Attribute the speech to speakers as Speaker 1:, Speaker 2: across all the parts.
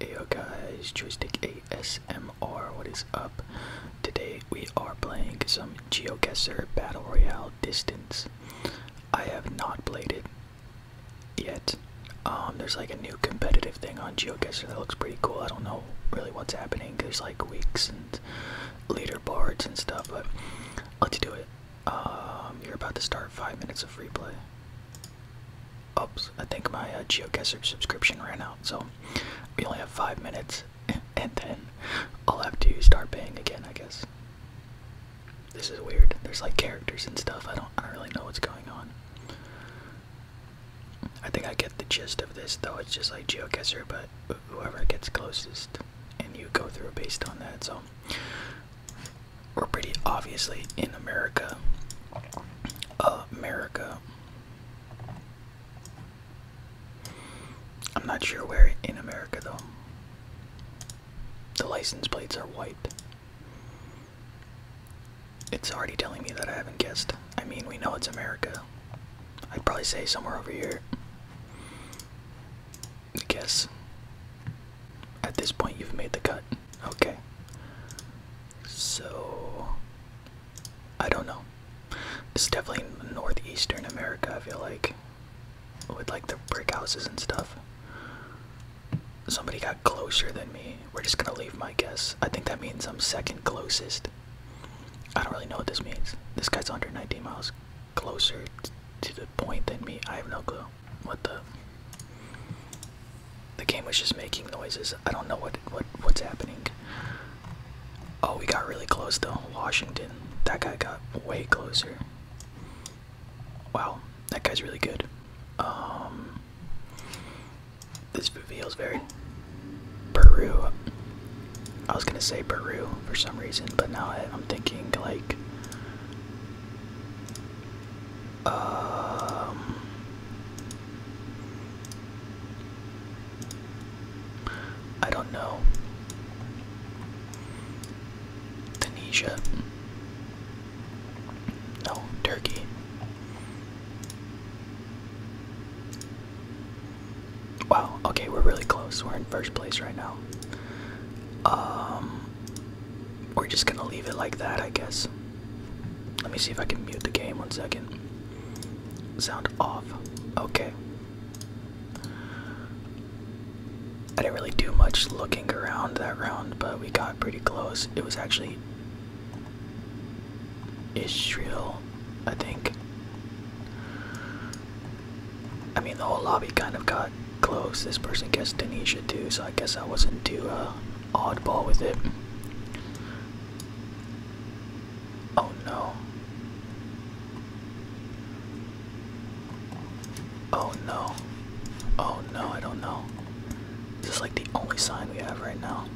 Speaker 1: Heyo guys, Joystick ASMR, what is up? Today we are playing some Geocaster Battle Royale Distance. I have not played it yet. Um, there's like a new competitive thing on geocaster that looks pretty cool. I don't know really what's happening. because like weeks and leaderboards and stuff, but let's do it. Um, you're about to start five minutes of replay. Oops, I think my uh, geocaster subscription ran out, so we only have five minutes, and then I'll have to start paying again, I guess. This is weird. There's like characters and stuff. I don't. I don't really know what's going on. I think I get the gist of this though. It's just like geoguesser, but whoever gets closest, and you go through based on that. So we're pretty obviously in America. America. I'm not sure where in America though. The license plates are white. It's already telling me that I haven't guessed. I mean, we know it's America. I'd probably say somewhere over here. guess. At this point, you've made the cut. Okay. So. I don't know. It's definitely northeastern America, I feel like. With like the brick houses and stuff. Somebody got closer than me. We're just gonna leave my guess. I think that means I'm second closest. I don't really know what this means. This guy's under nineteen miles closer to the point than me. I have no clue. What the? The game was just making noises. I don't know what what what's happening. Oh, we got really close though. Washington. That guy got way closer. Wow, that guy's really good. Um, this feels very Peru. I was gonna say Peru for some reason, but now I, am thinking like um, I don't know. Tunisia. No, Turkey. Wow, okay, we're really close. We're in first place right now. Um, we're just gonna leave it like that, I guess. Let me see if I can mute the game one second. Sound off. Okay. I didn't really do much looking around that round, but we got pretty close. It was actually Israel, I think. I mean, the whole lobby kind of got close. This person guessed Tunisia too, so I guess I wasn't too uh, oddball with it. Oh no. Oh no. Oh no, I don't know. This is like the only sign we have right now.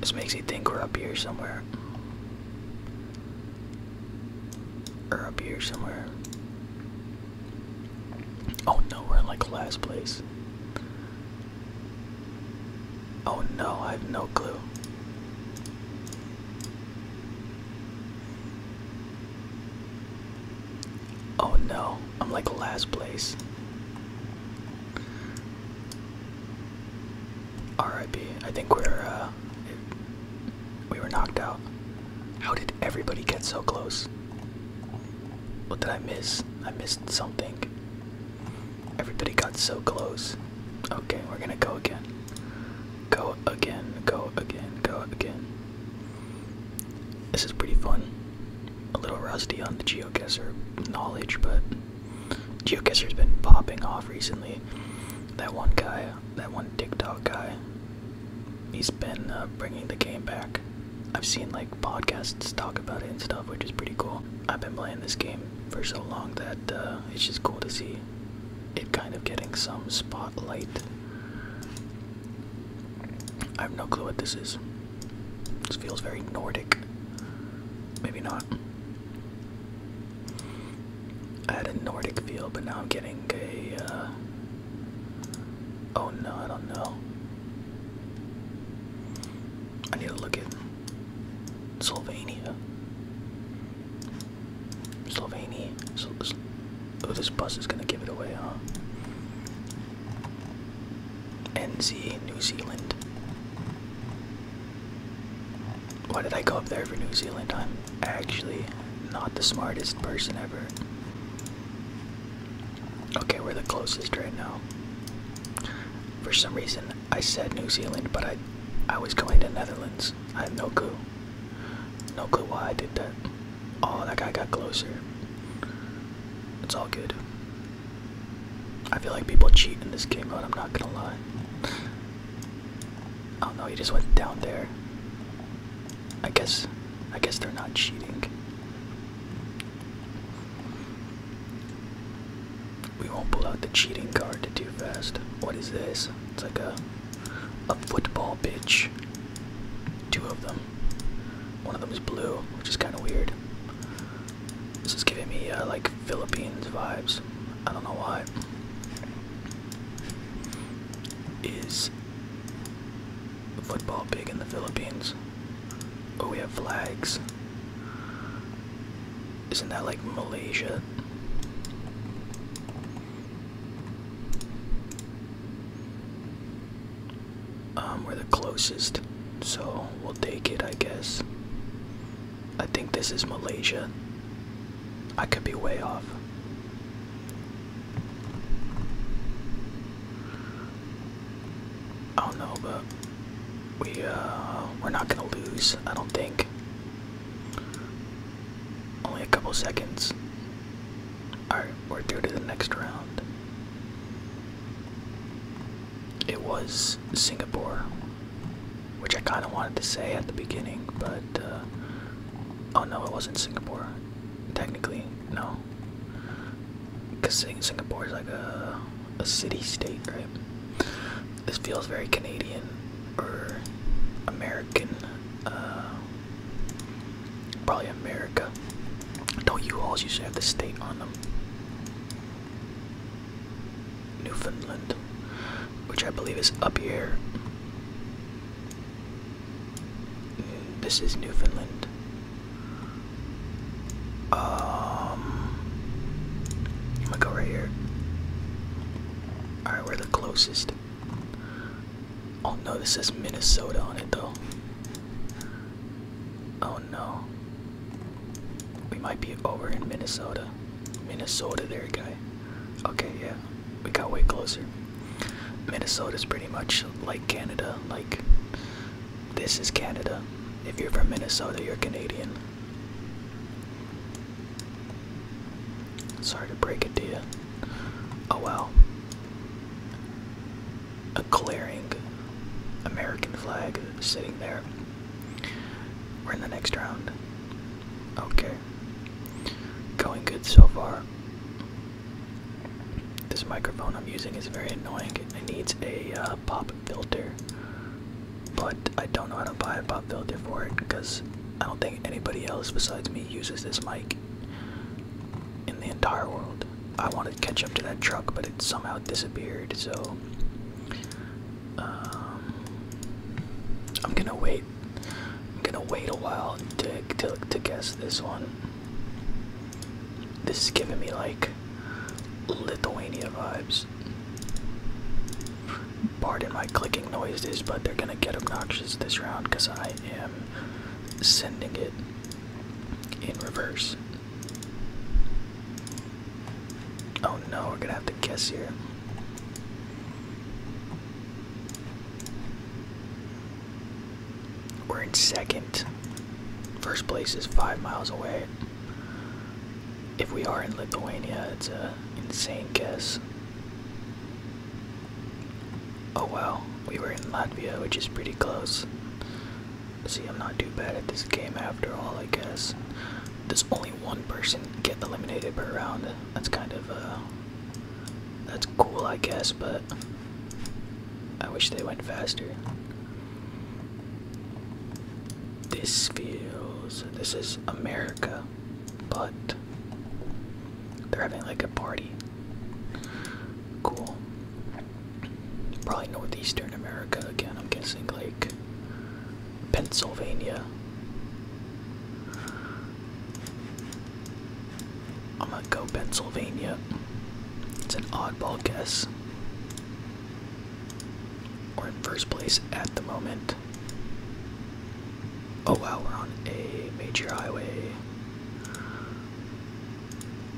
Speaker 1: This makes you think we're up here somewhere. Or up here somewhere. Oh no, we're in like the last place. Oh no, I have no clue. Oh no, I'm like the last place. RIP. I think we're uh, we were knocked out. How did everybody get so close? What did I miss? I missed something. Everybody got so close. Okay, we're gonna go again. Go again, go again, go again. This is pretty fun. A little rusty on the geoguesser knowledge, but Geocacher's been popping off recently. That one guy, that one TikTok guy, he's been uh, bringing the game back. I've seen like podcasts talk about it and stuff, which is pretty cool. I've been playing this game for so long that uh, it's just cool to see it kind of getting some spotlight. I have no clue what this is. This feels very Nordic. Maybe not. I had a Nordic feel, but now I'm getting a. Uh, oh no, I don't know. I need to look at Slovenia. Slovenia. So, oh, this bus is gonna give it away, huh? NZ, New Zealand. Why did I go up there for New Zealand? I'm actually not the smartest person ever. Okay, we're the closest right now. For some reason, I said New Zealand, but I, I was going to Netherlands. I have no clue. No clue why I did that. Oh, that guy got closer. It's all good. I feel like people cheat in this game mode, I'm not gonna lie. Oh no, he just went down there. I guess I guess they're not cheating. We won't pull out the cheating card to do fast. What is this? It's like a a football bitch. Two of them. One of them is blue, which is kinda weird. This is giving me uh, like Philippines vibes. I don't know why. Is football big in the Philippines? Oh, we have flags. Isn't that like Malaysia? Um, we're the closest. So we'll take it, I guess. I think this is Malaysia. I could be way off. I don't know, but we uh we're not gonna lose, I don't think. Only a couple seconds. Alright, we're through to the next round it was Singapore, which I kind of wanted to say at the beginning, but uh, oh no, it wasn't Singapore. Technically, no, because Singapore is like a a city-state, right? This feels very Canadian or American, uh, probably America. Don't you all usually have the state on them? Newfoundland, which I believe is up here. This is Newfoundland. Um, I'm gonna go right here. Alright, we're the closest. Oh no, this says Minnesota on it though. Oh no. We might be over in Minnesota. Minnesota, there, guy. Okay, yeah, we got way closer. Minnesota's pretty much like Canada. Like, this is Canada. If you're from Minnesota, you're Canadian. Sorry to break it to you. Oh wow. A glaring American flag sitting there. We're in the next round. Okay. Going good so far. This microphone I'm using is very annoying. It needs a uh, pop filter, but I don't know how to buy a pop filter for it because I don't think anybody else besides me uses this mic in the entire world. I wanted to catch up to that truck, but it somehow disappeared, so um, I'm gonna wait. I'm gonna wait a while to, to to guess this one. This is giving me like Lithuania vibes. Pardon my clicking noises, but they're gonna get obnoxious this round because I am sending it in reverse. Oh no, we're gonna have to guess here. We're in second. First place is five miles away. If we are in Lithuania, it's a insane guess. Oh well, we were in Latvia, which is pretty close. See, I'm not too bad at this game after all, I guess. Does only one person get eliminated per round? That's kind of, uh, that's cool, I guess, but I wish they went faster. This feels, this is America, but they're having like a party. Cool. Probably northeastern America again, I'm guessing like Pennsylvania. I'm gonna go Pennsylvania. It's an oddball guess. We're in first place at the moment. Oh wow, we're on a major highway.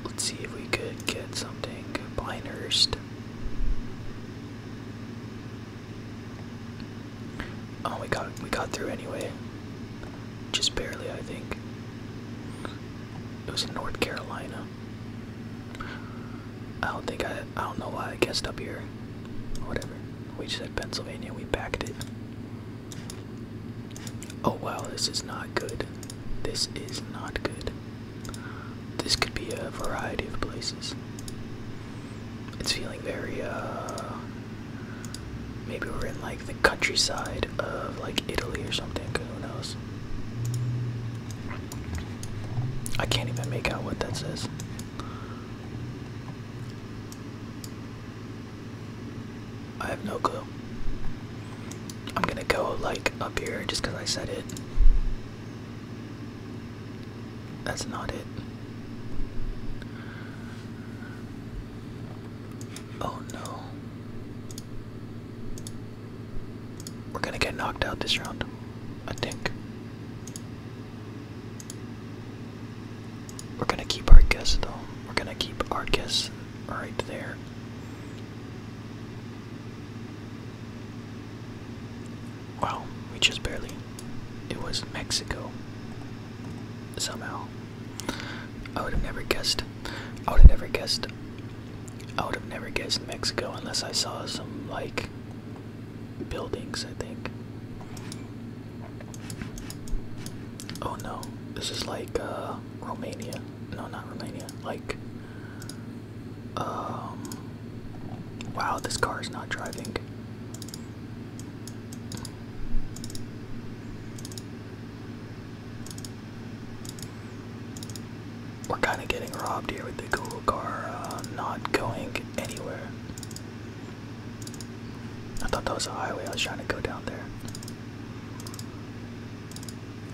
Speaker 1: Let's see if we could get something. Pinehurst. Oh, we got we got through anyway. Just barely, I think. It was in North Carolina. I don't think I I don't know why I guessed up here. Whatever. We said Pennsylvania. We backed it. Oh wow, this is not good. This is not good. This could be a variety of places. It's feeling very, uh, maybe we're in like the countryside of like Italy or something, who knows? I can't even make out what that says. I have no clue. I'm gonna go like up here just because I said it. That's not it. Oh no. We're gonna get knocked out this round, I think. We're gonna keep our guess though. We're gonna keep our guess right there. Wow, we just barely. It was Mexico. Somehow. I would have never guessed. I would have never guessed. I would have never guessed Mexico unless I saw some, like, buildings, I think. Oh no, this is like, uh, Romania. No, not Romania. Like, um, wow, this car is not driving. We're kind of getting robbed here with the Google car uh, not going anywhere. I thought that was a highway I was trying to go down there.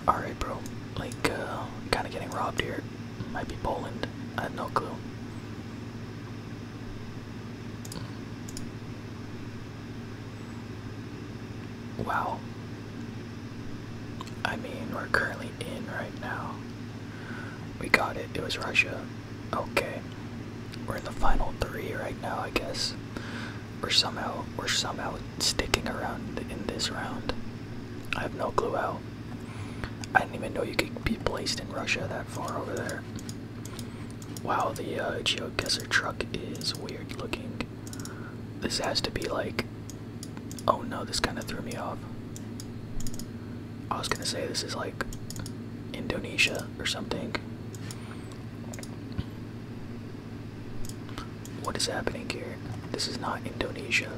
Speaker 1: Alright, bro. Like, uh, kind of getting robbed here. Might be Poland. I have no clue. Wow. I mean, we're currently in right now. We got it. It was Russia. Okay. We're in the final three right now, I guess. We're somehow, we're somehow sticking around in this round. I have no clue how. I didn't even know you could be placed in Russia that far over there. Wow, the uh, geoguesser truck is weird looking. This has to be like. Oh no, this kind of threw me off. I was gonna say this is like Indonesia or something. What is happening here? This is not Indonesia.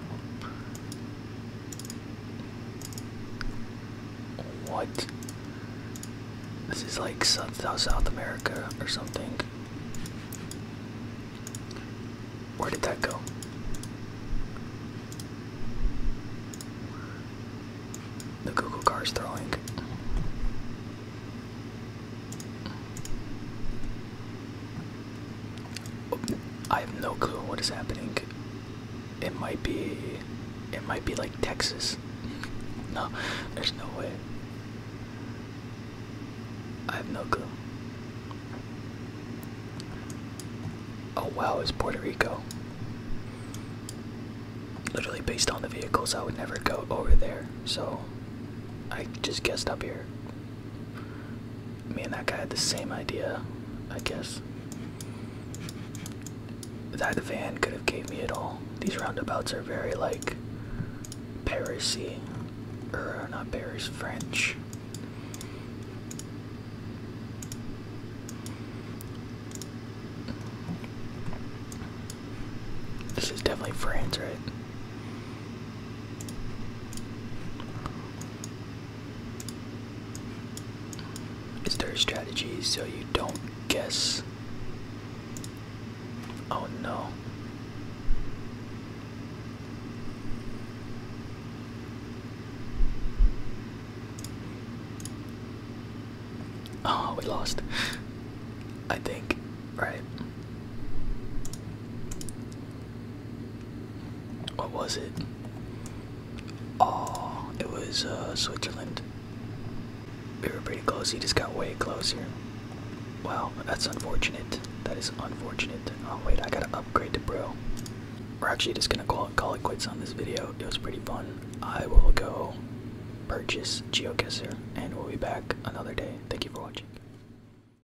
Speaker 1: What? This is like South, South America or something. Where did that go? The Google car is throwing. I have no clue what is happening. It might be, it might be like Texas. No, there's no way. I have no clue. Oh wow, it's Puerto Rico. Literally based on the vehicles, I would never go over there. So I just guessed up here. Me and that guy had the same idea, I guess. That van could have gave me it all. These roundabouts are very like Parisian, or uh, not Paris, French. This is definitely France, right? Is there a strategy so you don't guess? Oh no. Oh, we lost. I think, right? What was it? Oh, it was uh, Switzerland. We were pretty close. He just got way closer. Well, that's unfortunate. That is unfortunate. Oh wait, I gotta upgrade the bro. We're actually just gonna call it, call it quits on this video. It was pretty fun. I will go purchase GeoGuessr and we'll be back another day. Thank you for watching.